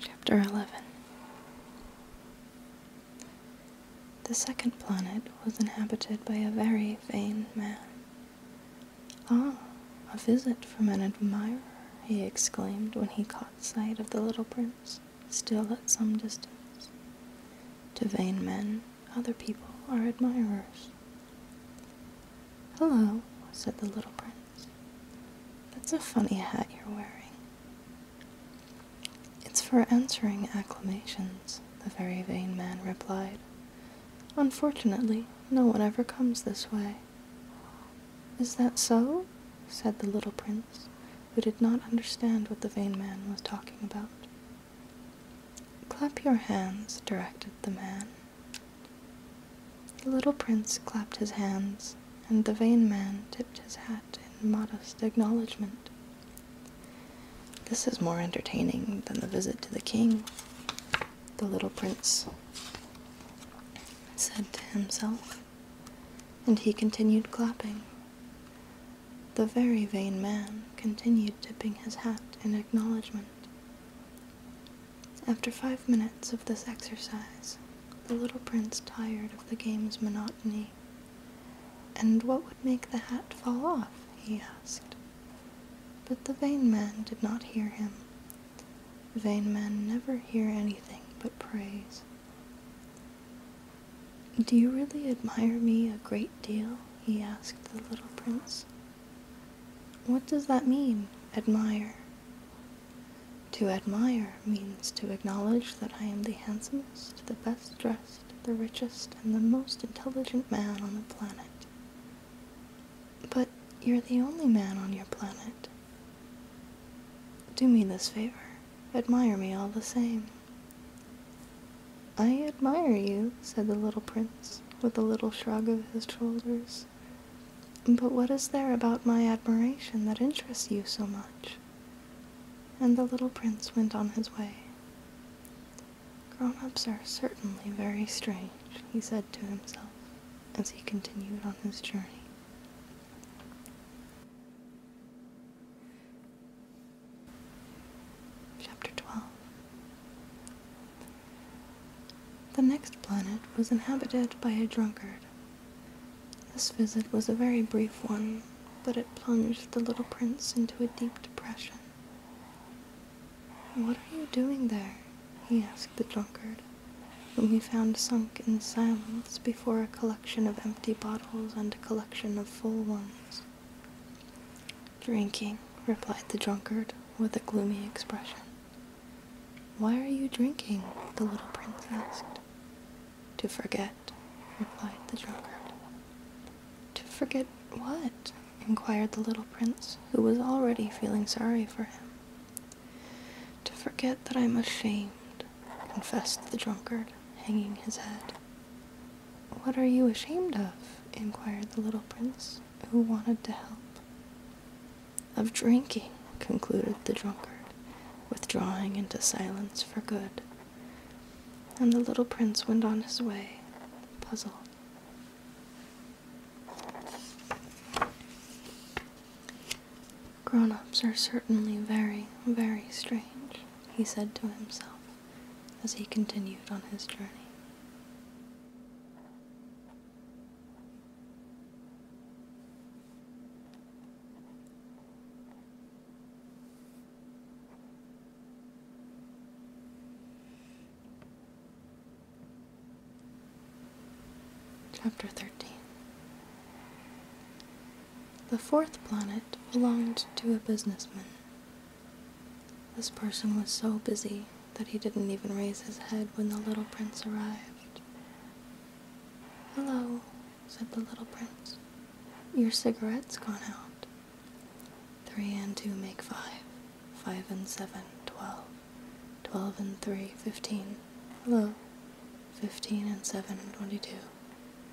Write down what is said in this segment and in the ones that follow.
Chapter 11 The second planet was inhabited by a very vain man. Ah, a visit from an admirer, he exclaimed when he caught sight of the little prince, still at some distance. To vain men, other people are admirers. Hello, said the little prince. That's a funny hat you're wearing. It's for answering acclamations, the very vain man replied. Unfortunately, no one ever comes this way. Is that so? said the little prince, who did not understand what the vain man was talking about. Clap your hands, directed the man. The little prince clapped his hands, and the vain man tipped his hat in modest acknowledgment. This is more entertaining than the visit to the king, the little prince said to himself, and he continued clapping. The very vain man continued tipping his hat in acknowledgment. After five minutes of this exercise, the little prince tired of the game's monotony. And what would make the hat fall off? he asked. But the vain man did not hear him. Vain men never hear anything but praise. Do you really admire me a great deal? he asked the little prince. What does that mean, admire? To admire means to acknowledge that I am the handsomest, the best dressed, the richest, and the most intelligent man on the planet. But you're the only man on your planet. Do me this favor. Admire me all the same. I admire you, said the little prince, with a little shrug of his shoulders. But what is there about my admiration that interests you so much? And the little prince went on his way. Grown ups are certainly very strange, he said to himself as he continued on his journey. Chapter 12 The next planet was inhabited by a drunkard. This visit was a very brief one, but it plunged the little prince into a deep depression. What are you doing there? he asked the drunkard, whom he found sunk in silence before a collection of empty bottles and a collection of full ones. Drinking, replied the drunkard with a gloomy expression. Why are you drinking? the little prince asked. To forget, replied the drunkard. To forget what? inquired the little prince, who was already feeling sorry for him. To forget that I'm ashamed, confessed the drunkard, hanging his head. What are you ashamed of? inquired the little prince, who wanted to help. Of drinking, concluded the drunkard, withdrawing into silence for good. And the little prince went on his way, puzzled. Grown ups are certainly very, very strange, he said to himself as he continued on his journey. Chapter 13 the fourth planet belonged to a businessman. This person was so busy that he didn't even raise his head when the little prince arrived. Hello, said the little prince. Your cigarette's gone out. Three and two make five. Five and seven, twelve. Twelve and three, fifteen. Hello. Fifteen and seven, twenty-two.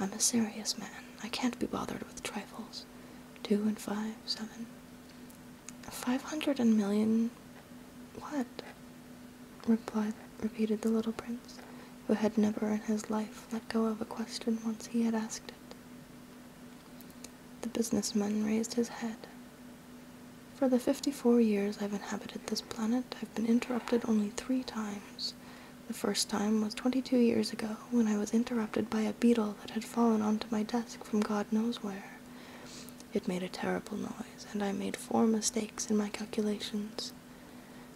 I'm a serious man. I can't be bothered with trifles. Two and five, seven. Five hundred and million. What? replied, repeated the little prince, who had never in his life let go of a question once he had asked it. The businessman raised his head. For the fifty-four years I've inhabited this planet, I've been interrupted only three times the first time was twenty two years ago when I was interrupted by a beetle that had fallen onto my desk from God knows where. It made a terrible noise, and I made four mistakes in my calculations.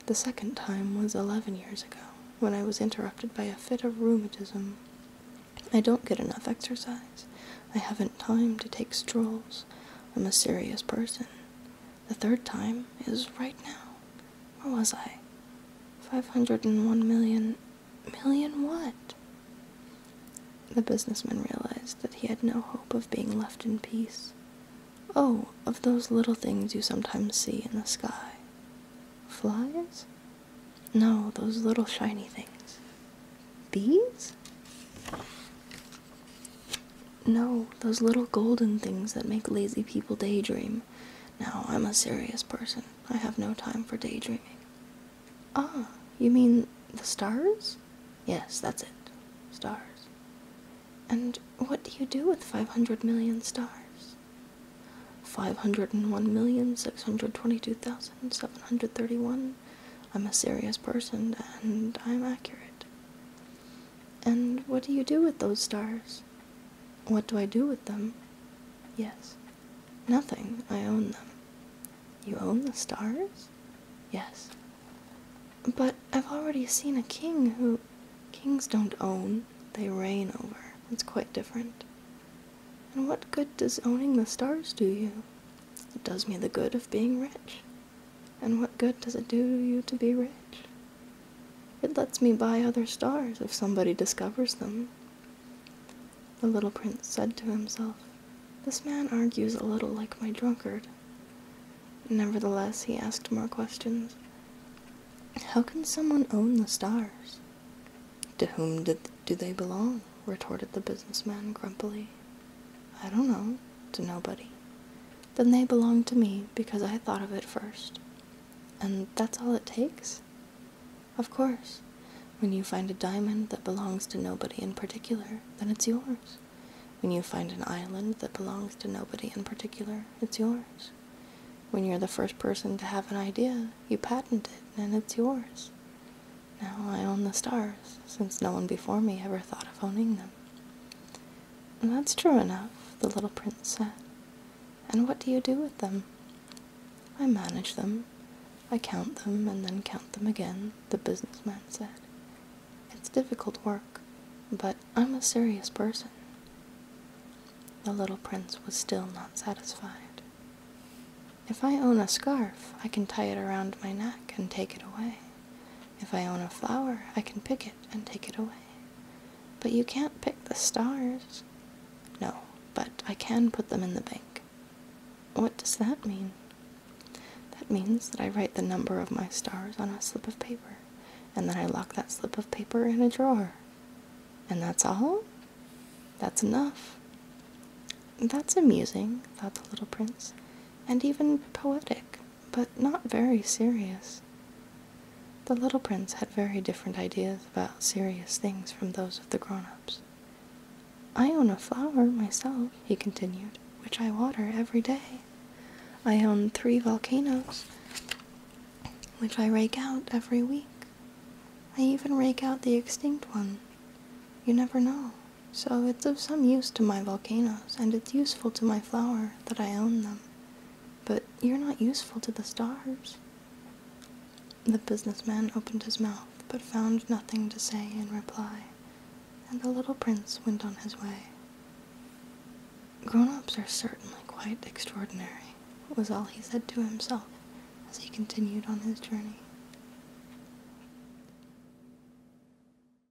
The second time was eleven years ago when I was interrupted by a fit of rheumatism. I don't get enough exercise. I haven't time to take strolls. I'm a serious person. The third time is right now. Where was I? 501 million. Million what? The businessman realized that he had no hope of being left in peace. Oh, of those little things you sometimes see in the sky. Flies? No, those little shiny things. Bees? No, those little golden things that make lazy people daydream. Now I'm a serious person. I have no time for daydreaming. Ah, you mean the stars? Yes, that's it. Stars. And what do you do with 500 million stars? 501,622,731. I'm a serious person and I'm accurate. And what do you do with those stars? What do I do with them? Yes. Nothing. I own them. You own the stars? Yes. But I've already seen a king who. Kings don't own, they reign over. It's quite different. And what good does owning the stars do you? It does me the good of being rich. And what good does it do you to be rich? It lets me buy other stars if somebody discovers them. The little prince said to himself, This man argues a little like my drunkard. Nevertheless, he asked more questions. How can someone own the stars? To whom did, do they belong? retorted the businessman grumpily. I don't know. To nobody then they belong to me because I thought of it first. And that's all it takes? Of course. When you find a diamond that belongs to nobody in particular, then it's yours. When you find an island that belongs to nobody in particular, it's yours. When you're the first person to have an idea, you patent it and it's yours. Now I own the stars, since no one before me ever thought of owning them. That's true enough, the little prince said. And what do you do with them? I manage them. I count them and then count them again, the businessman said. It's difficult work, but I'm a serious person. The little prince was still not satisfied. If I own a scarf, I can tie it around my neck and take it away. If I own a flower, I can pick it and take it away. But you can't pick the stars. No, but I can put them in the bank. What does that mean? That means that I write the number of my stars on a slip of paper, and then I lock that slip of paper in a drawer. And that's all? That's enough. That's amusing, thought the little prince, and even poetic but not very serious. The little prince had very different ideas about serious things from those of the grown ups. I own a flower myself, he continued, which I water every day. I own three volcanoes, which I rake out every week. I even rake out the extinct one. You never know. So it's of some use to my volcanoes, and it's useful to my flower that I own them, but you're not useful to the stars. The businessman opened his mouth, but found nothing to say in reply, and the little prince went on his way. Grown ups are certainly quite extraordinary, was all he said to himself as he continued on his journey.